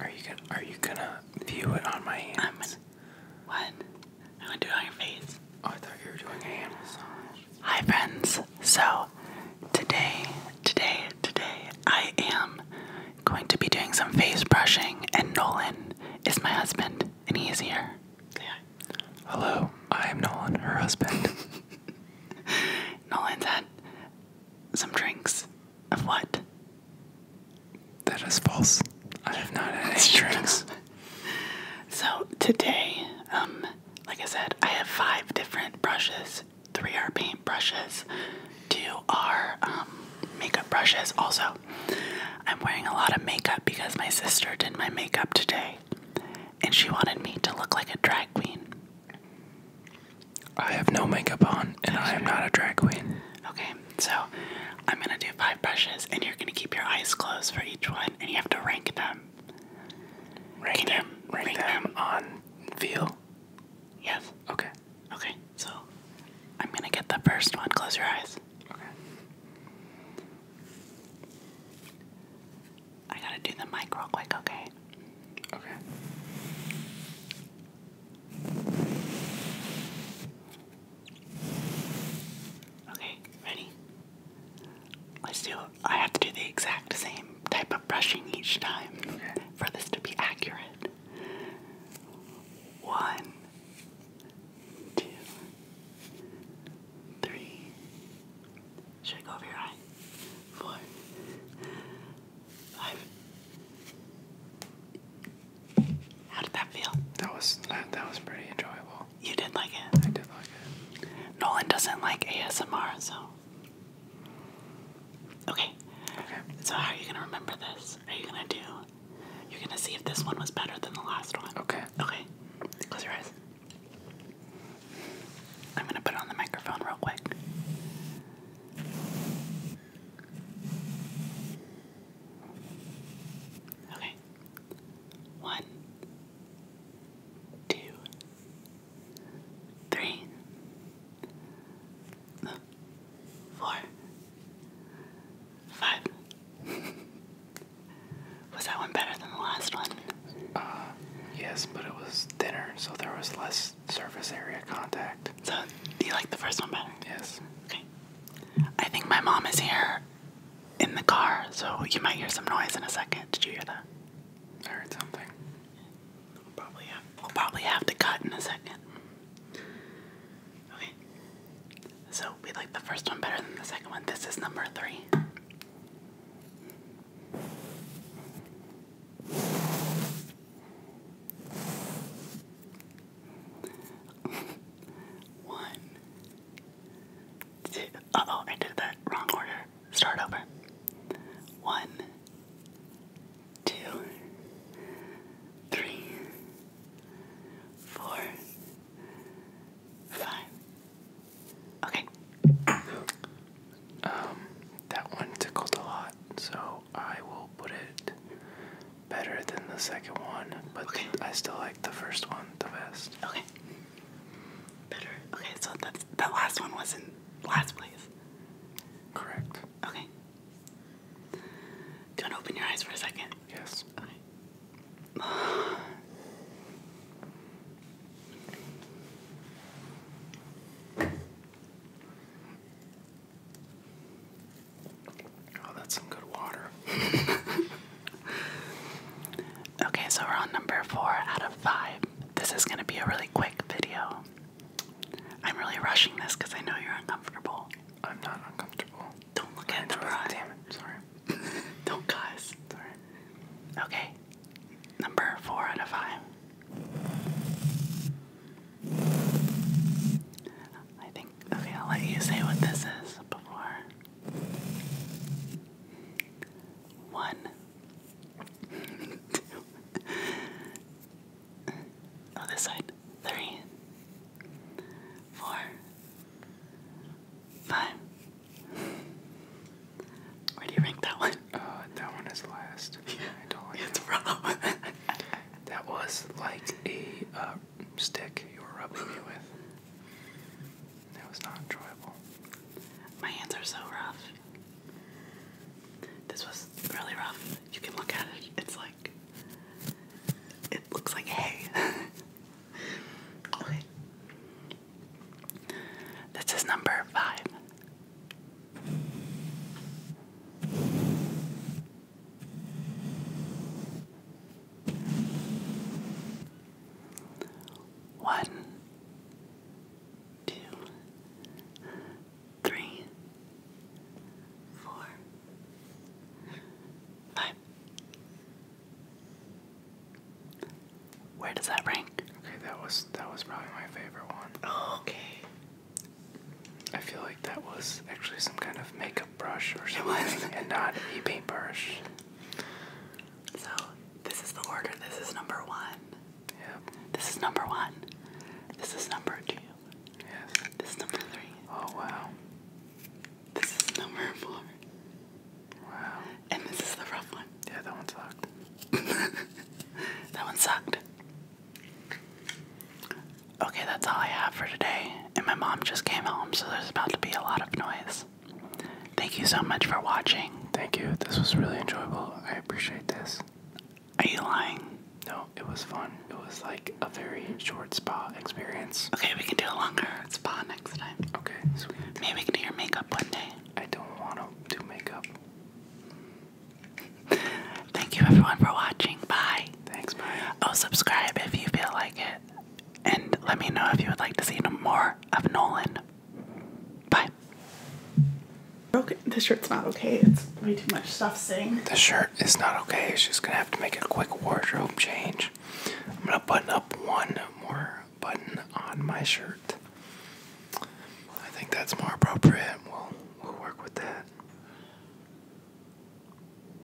Are you gonna Are you gonna view it on my hands? what? I'm gonna do it on your face. Oh, I thought you were doing a Hi, friends. So today, today, today, I am going to be doing some face brushing, and Nolan is my husband, and he is here. Yeah. Hello, I am Nolan, her husband. Nolan's had some drinks of what? That is false. I have not had any drinks. so today, um, like I said, I have five different brushes. Three are paint brushes. Two are um, makeup brushes. Also, I'm wearing a lot of makeup because my sister did my makeup today, and she wanted me to look like a drag queen. I have no makeup on, and I am not a drag queen. Okay, so I'm gonna do five brushes, and you're gonna keep your eyes closed for each one, and you have to rank them. Rank them. You, rank, rank them, them on feel. Yes. Okay. Okay. So I'm gonna get the first one. Close your eyes. Okay. I gotta do the mic real quick, okay? Okay. Okay, ready? Let's do I have to do the exact same type of brushing each time for this to be accurate. One, two, three, should I go over your eye? Four, five. How did that feel? That was that, that was pretty enjoyable. You did like it. I did like it. Nolan doesn't like ASMR, so. Okay. Okay. So how are you gonna remember this? Are you gonna do? You're gonna see if this one was better than the last one. Okay. Okay. Close your eyes. I'm going to put on the microphone real quick. Okay. One, two, three, four, five. Was that one better than the last one? Uh, yes, but it was thinner, so there was less surface area contact. So, do you like the first one better? Yes. Okay. I think my mom is here in the car, so you might hear some noise in a second. Did you hear that? I heard something. We'll probably have, we'll probably have to cut in a second. Okay. So, we like the first one better than the second one. This is number three. one, two, oh, I did that wrong order. Start over. One, two, three four, five. Okay. um, that one tickled a lot, so I will put it better than the second one, but I still like the first one the best. Okay. Better. Okay, so that's, that last one was in last place. Correct. Okay. Do you open your eyes for a second? Yes. Oh, that's some good water. okay, so we're on number four out of five. This is going to be a really quick video. I'm really rushing this because I know you're uncomfortable. I'm not uncomfortable. Don't look at the bra. Damn it, sorry. Don't cuss. Sorry. Okay. Number four out of five. I think, okay, I'll let you say what this is before. One, two, Oh, this side. Three, four, five. Where do you rank that one? Uh, that one is last. Yeah, it's it. that was like a uh, stick you were rubbing me with. That was not enjoyable. My hands are so rough. This was really rough. You can look at it. It's like it looks like hay. This is number five. One two, three, four, five. Where does that rank? Okay, that was that was probably my favorite one. okay. I feel like that was actually some kind of makeup brush or something, and not a paintbrush. So this is the order. This is number one. Yep. This is number one. This is number two. Yes. This is number three. Oh wow. This is number four. Wow. And this is the rough one. Yeah, that one sucked. that one sucked. Okay, that's all I have for today. And my mom just came home, so there's about to be a lot of noise. Thank you so much for watching. Thank you. This was really enjoyable. I appreciate this. Are you lying? No, it was fun. It was like a very short spa experience. Okay, we can do a longer spa next time. Okay, Maybe we can do your makeup one day. I don't want to do makeup. Thank you everyone for watching. Bye. Thanks, bye. Oh, subscribe if you feel like it and let me know if you would like to see more of Nolan. Bye. Okay, this shirt's not okay. It's way too much stuff sitting. The shirt is not okay. just gonna have to make a quick wardrobe change. I'm gonna button up one more button on my shirt. I think that's more appropriate. We'll we'll work with that.